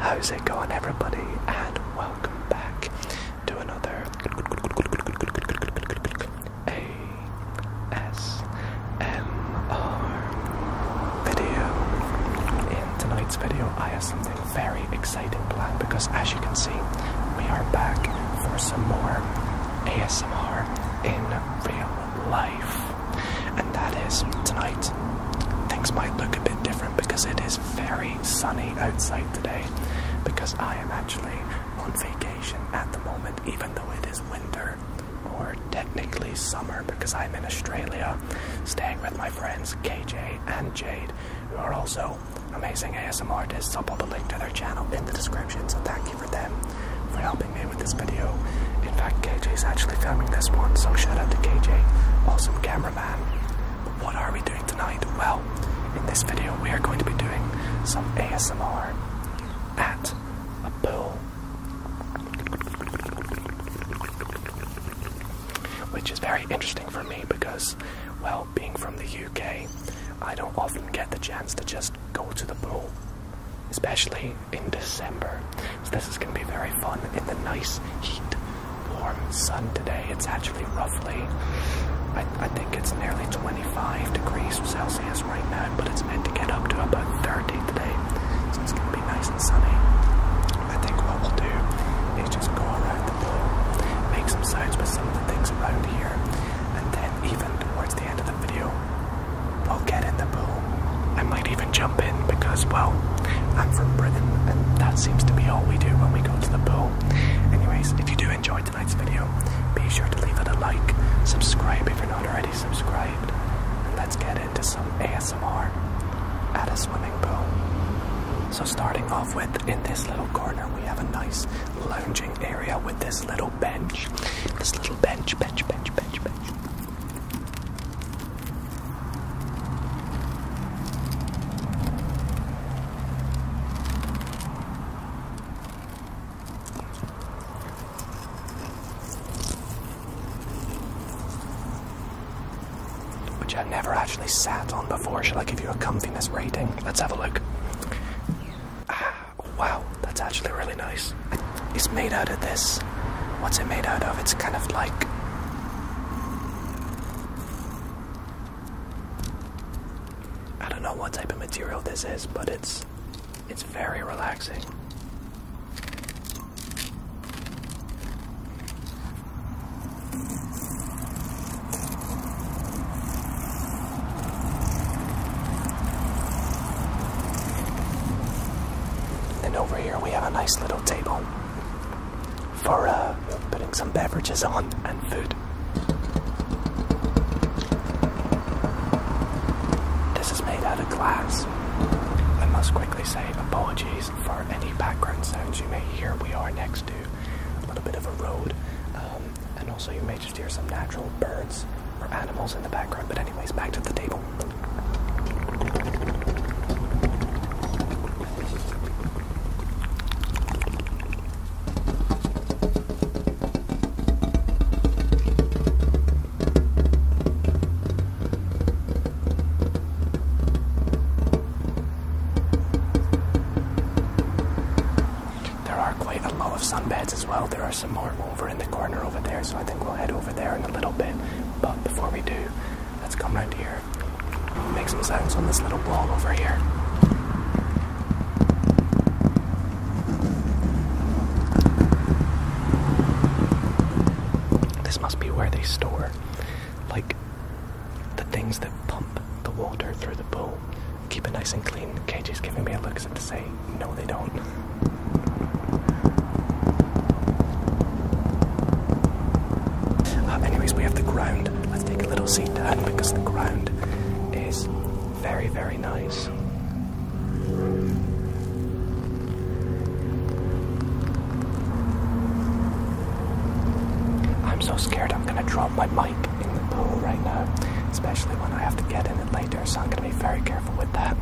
How's it going, everybody? And welcome back to another ASMR video. In tonight's video, I have something very exciting planned because, as you can see, we are back for some more ASMR in real life. And that is tonight. Things might look a bit different because it is very sunny outside today. Because I am actually on vacation at the moment, even though it is winter or technically summer because I'm in Australia staying with my friends KJ and Jade, who are also amazing ASM artists. I'll put the link to their channel in the description, so thank for them for helping me with this video. In fact, KJ is actually filming this one, so shout out to KJ, awesome cameraman. But what are we doing tonight? Well, in this video, we are going to be doing some ASMR at a pool. Which is very interesting for me because, well, being from the UK, I don't often get the chance to just go to the pool, especially in December. So this is going to be very fun in the nice heat, warm sun today. It's actually roughly, I, think it's nearly 25 degrees Celsius right now, but it's meant to get up to about 30 today. So it's going to be nice and sunny. I think what we'll do is just go around the pool, make some sounds with some of the things around here, and then even towards the end of the video. We'll get in the pool. I might even jump in because, well, I'm from Britain and that seems to be all we do when we go to the pool. Anyways, if you do enjoy tonight's video, be sure to leave it a like, subscribe if you're not already subscribed, and let's get into some ASMR at a swimming pool. So starting off with, in this little corner, we have a nice lounging area with this little this little bench, bench, bench, bench, bench. Which I've never actually sat on before. Shall I give you a comfiness rating? Let's have a look. Ah. Wow, that's actually really nice. It's made out of this. What's it made out of? It's kind of like. I don't know what type of material this is, but it's. It's very relaxing. And over here we have a nice little table for uh, putting some beverages on and food. This is made out of glass. I must quickly say apologies for any background sounds you may hear. We are next to a little bit of a road. Um, and also you may just hear some natural birds or animals in the background. But, anyways, back to the table. There are quite a lot of sunbeds as well. There are some more over in the corner over there, so I think we'll head over there in a little bit. But before we do, let's come right here, make some sounds on this little block over here. This must be where they store, like, the things that pump the water through the bowl keep it nice and clean. KJ's giving me a look as if to say, no, they don't. Uh, anyways, we have the ground. Let's take a little seat down because the ground is very, very nice. I'm so scared I'm gonna drop my mic in the pool right now, especially when I have to get in it later, so I'm going to be very careful with that.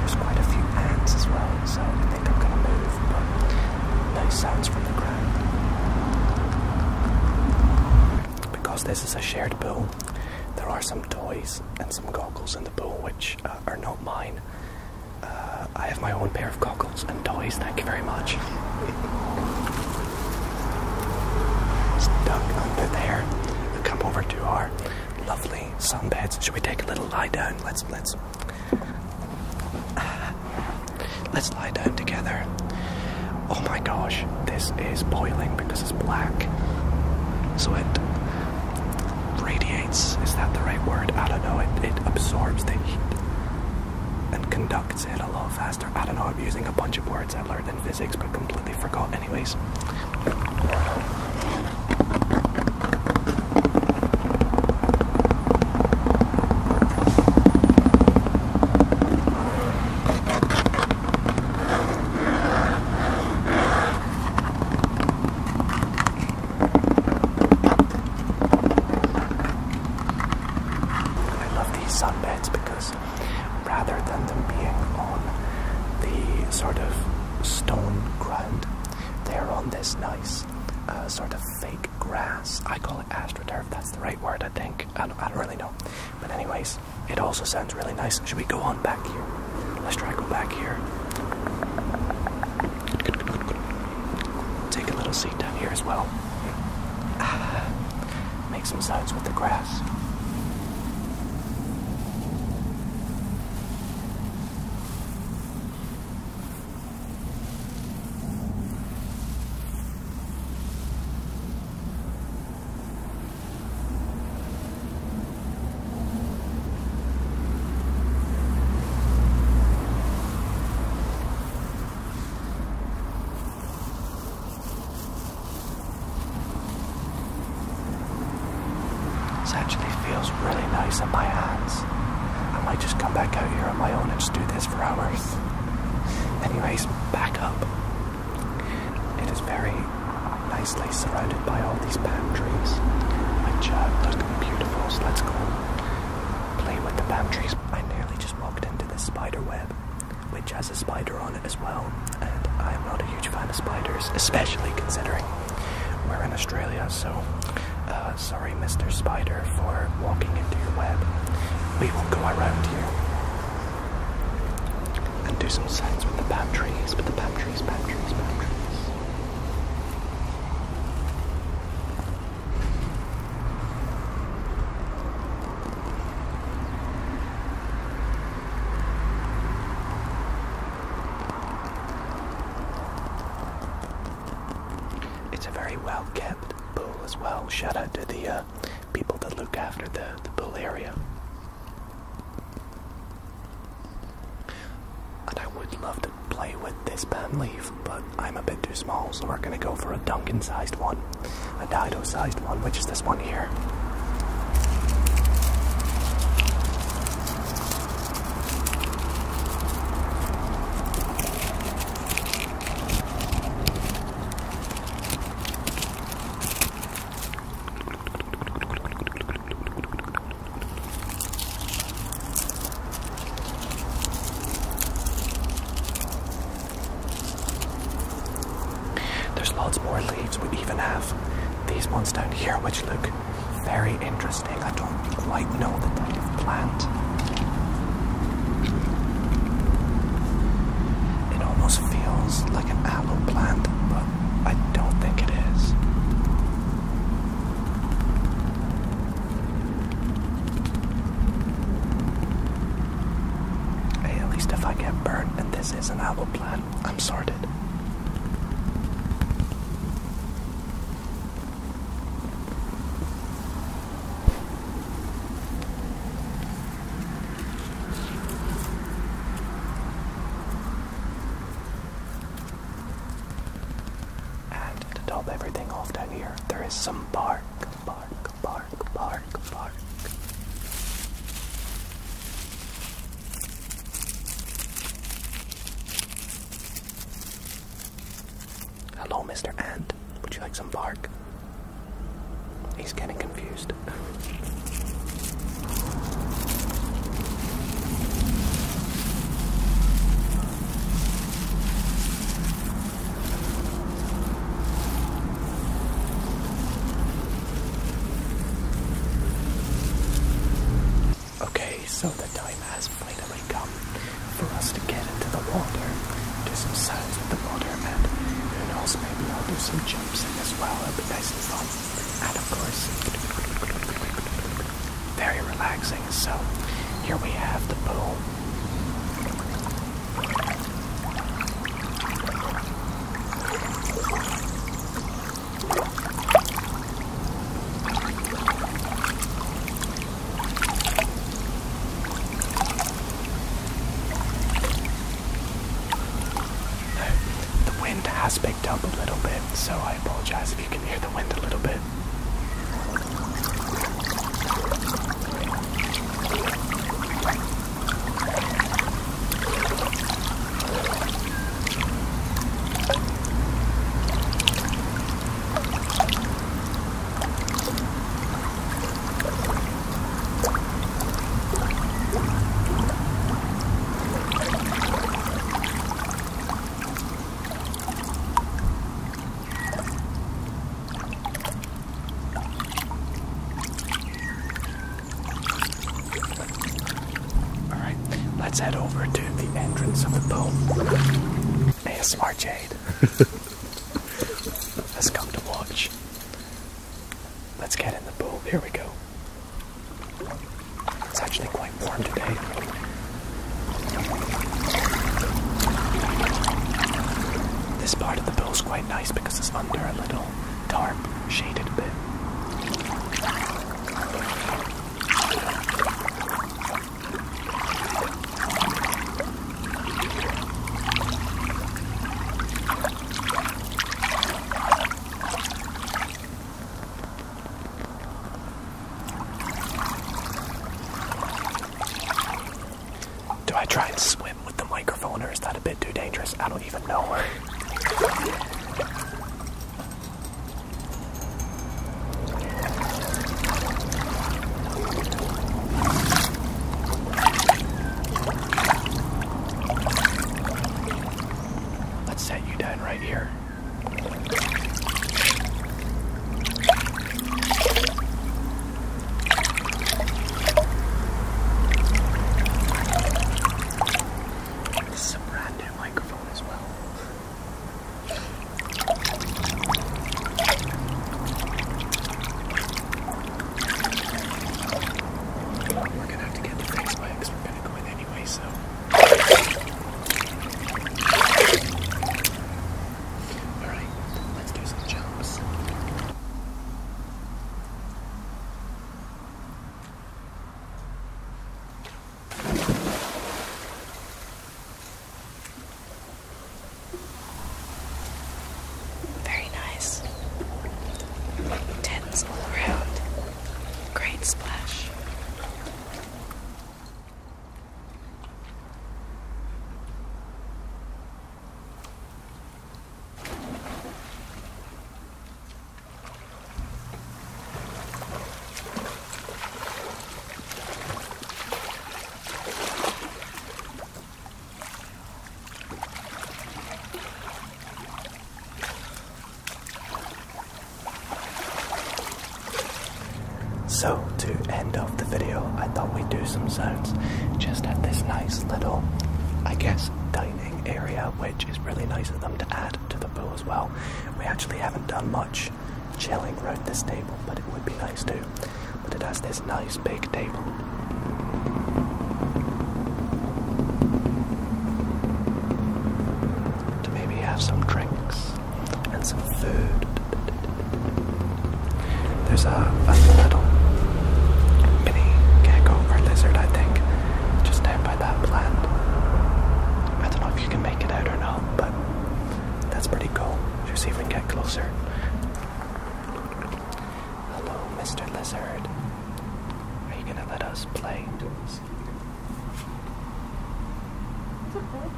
There's quite a few ants as well, so I think I'm going to move, but no sounds from the ground. Because this is a shared pool, there are some toys and some goggles in the pool which uh, are not mine. Uh, I have my own pair of goggles and toys, thank you very much. Stuck under there. come over to our lovely sunbeds. Should we take a little lie down? Let's let's let's lie down together. Oh my gosh, this is boiling because it's black. So it radiates, is that the right word? I don't know. It, absorbs the heat and conducts it a lot faster. I don't know, I'm using a bunch of words I learned in physics but completely forgot, anyways. I love these sunbeds because rather than them being on the sort of stone ground, they're on this nice uh, sort of fake grass. I call it astroturf, that's the right word, I think. I don't really know. But, anyways, it also sounds really nice. Should we go on back here? Let's try go back here. Take a little seat down here as well. make some sounds with the grass. This actually feels really nice in my hands. I might just come back out here on my own and just do this for hours. Anyways, back up. It is very nicely surrounded by all these palm trees, which uh, look beautiful, so let's go play with the palm trees. I nearly just walked into the spider web, which has a spider on it as well, and I'm not a huge fan of spiders, especially considering we're in Australia, so uh, sorry, Mr. Spider, for walking into your web. We will go around here. And do some sets with the palm trees, with the palm trees, palm trees, palm trees. It's a very well kept pool as well. Shout out to the uh, uh, people that look after the, the pool area. And I would love to play with this leaf, but I'm a bit too small, so we're gonna go for a Duncan sized one, a Dido sized one, which is this one here. There's lots more leaves. We even have these ones down here, which look very interesting. I don't quite know the type of plant. It almost feels like an aloe plant, but I don't think it is. Hey, at least if I get burned and this is an aloe plant, I'm sorted. And to top everything off down here, there is some bark, bark, bark, bark, bark. Hello, Mr. Ant. Would you like some bark? He's getting confused. Okay, so the time has really come for us to get into the water, do some science with the water, and who knows, maybe I'll do some jumps in as well. It'll be nice and fun. And of course, very relaxing. So here we have the pool the wind has picked up a little bit, so I apologize if you can hear the wind a little bit. All right, let's head over to the entrance of the boat smart Jade Let's come to watch. Let's get in the pool. Here we go. It's actually quite warm today. This part of the pool is quite nice because it's under a little tarp, shaded bit. Do I try and swim with the microphone or is that a bit too dangerous? I don't even know. Let's set you down right here. This is a brand new microphone as well. We're gonna have to get the fixed by because we're gonna go in anyway, so Alright, let's do some jumps. Very nice. Tens all around. Great splash. So to end off the video, I thought we'd do some zones. just at this nice little, I guess, dining area, which is really nice of them to add to the pool as well. We actually haven't done much chilling around this table, but it would be nice too. But it has this nice big table. To maybe have some drinks and some food. There's a, little mini gecko or lizard, I think, just down by that plant. I don't know if you can make it out or not, but that's pretty cool. Should see if we can get closer. Hello, Mr. Lizard. Are you gonna let us play? It's okay. Come on.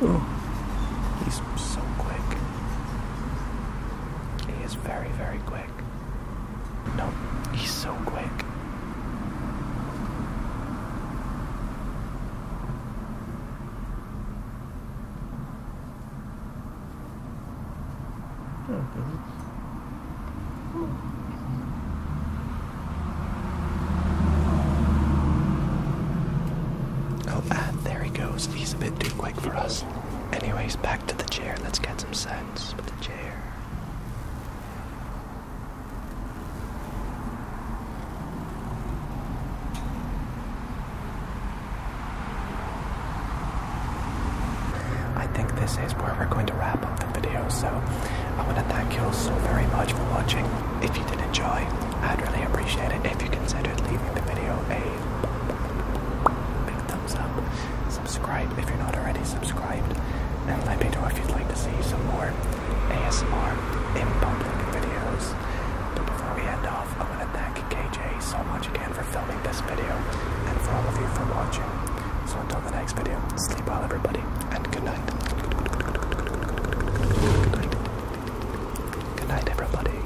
Ooh. He's so quick. He is very, very quick. Nope, he's so quick. Oh, ah, there he goes. He's a bit too quick for us. Anyways, back to the chair. Let's get some sex with a chair. I think this is where we're going to wrap up the video, so I want to thank you all so very much for watching. If you did enjoy, I'd really appreciate it if you considered leaving the video a big thumbs up subscribe if you're not already subscribed, and let me know if you'd like to see some more ASMR in public videos. But before we end off, I want to thank KJ so much again for filming this video, and for all of you for watching. So until the next video, sleep well everybody, and good night. Good night, good night everybody.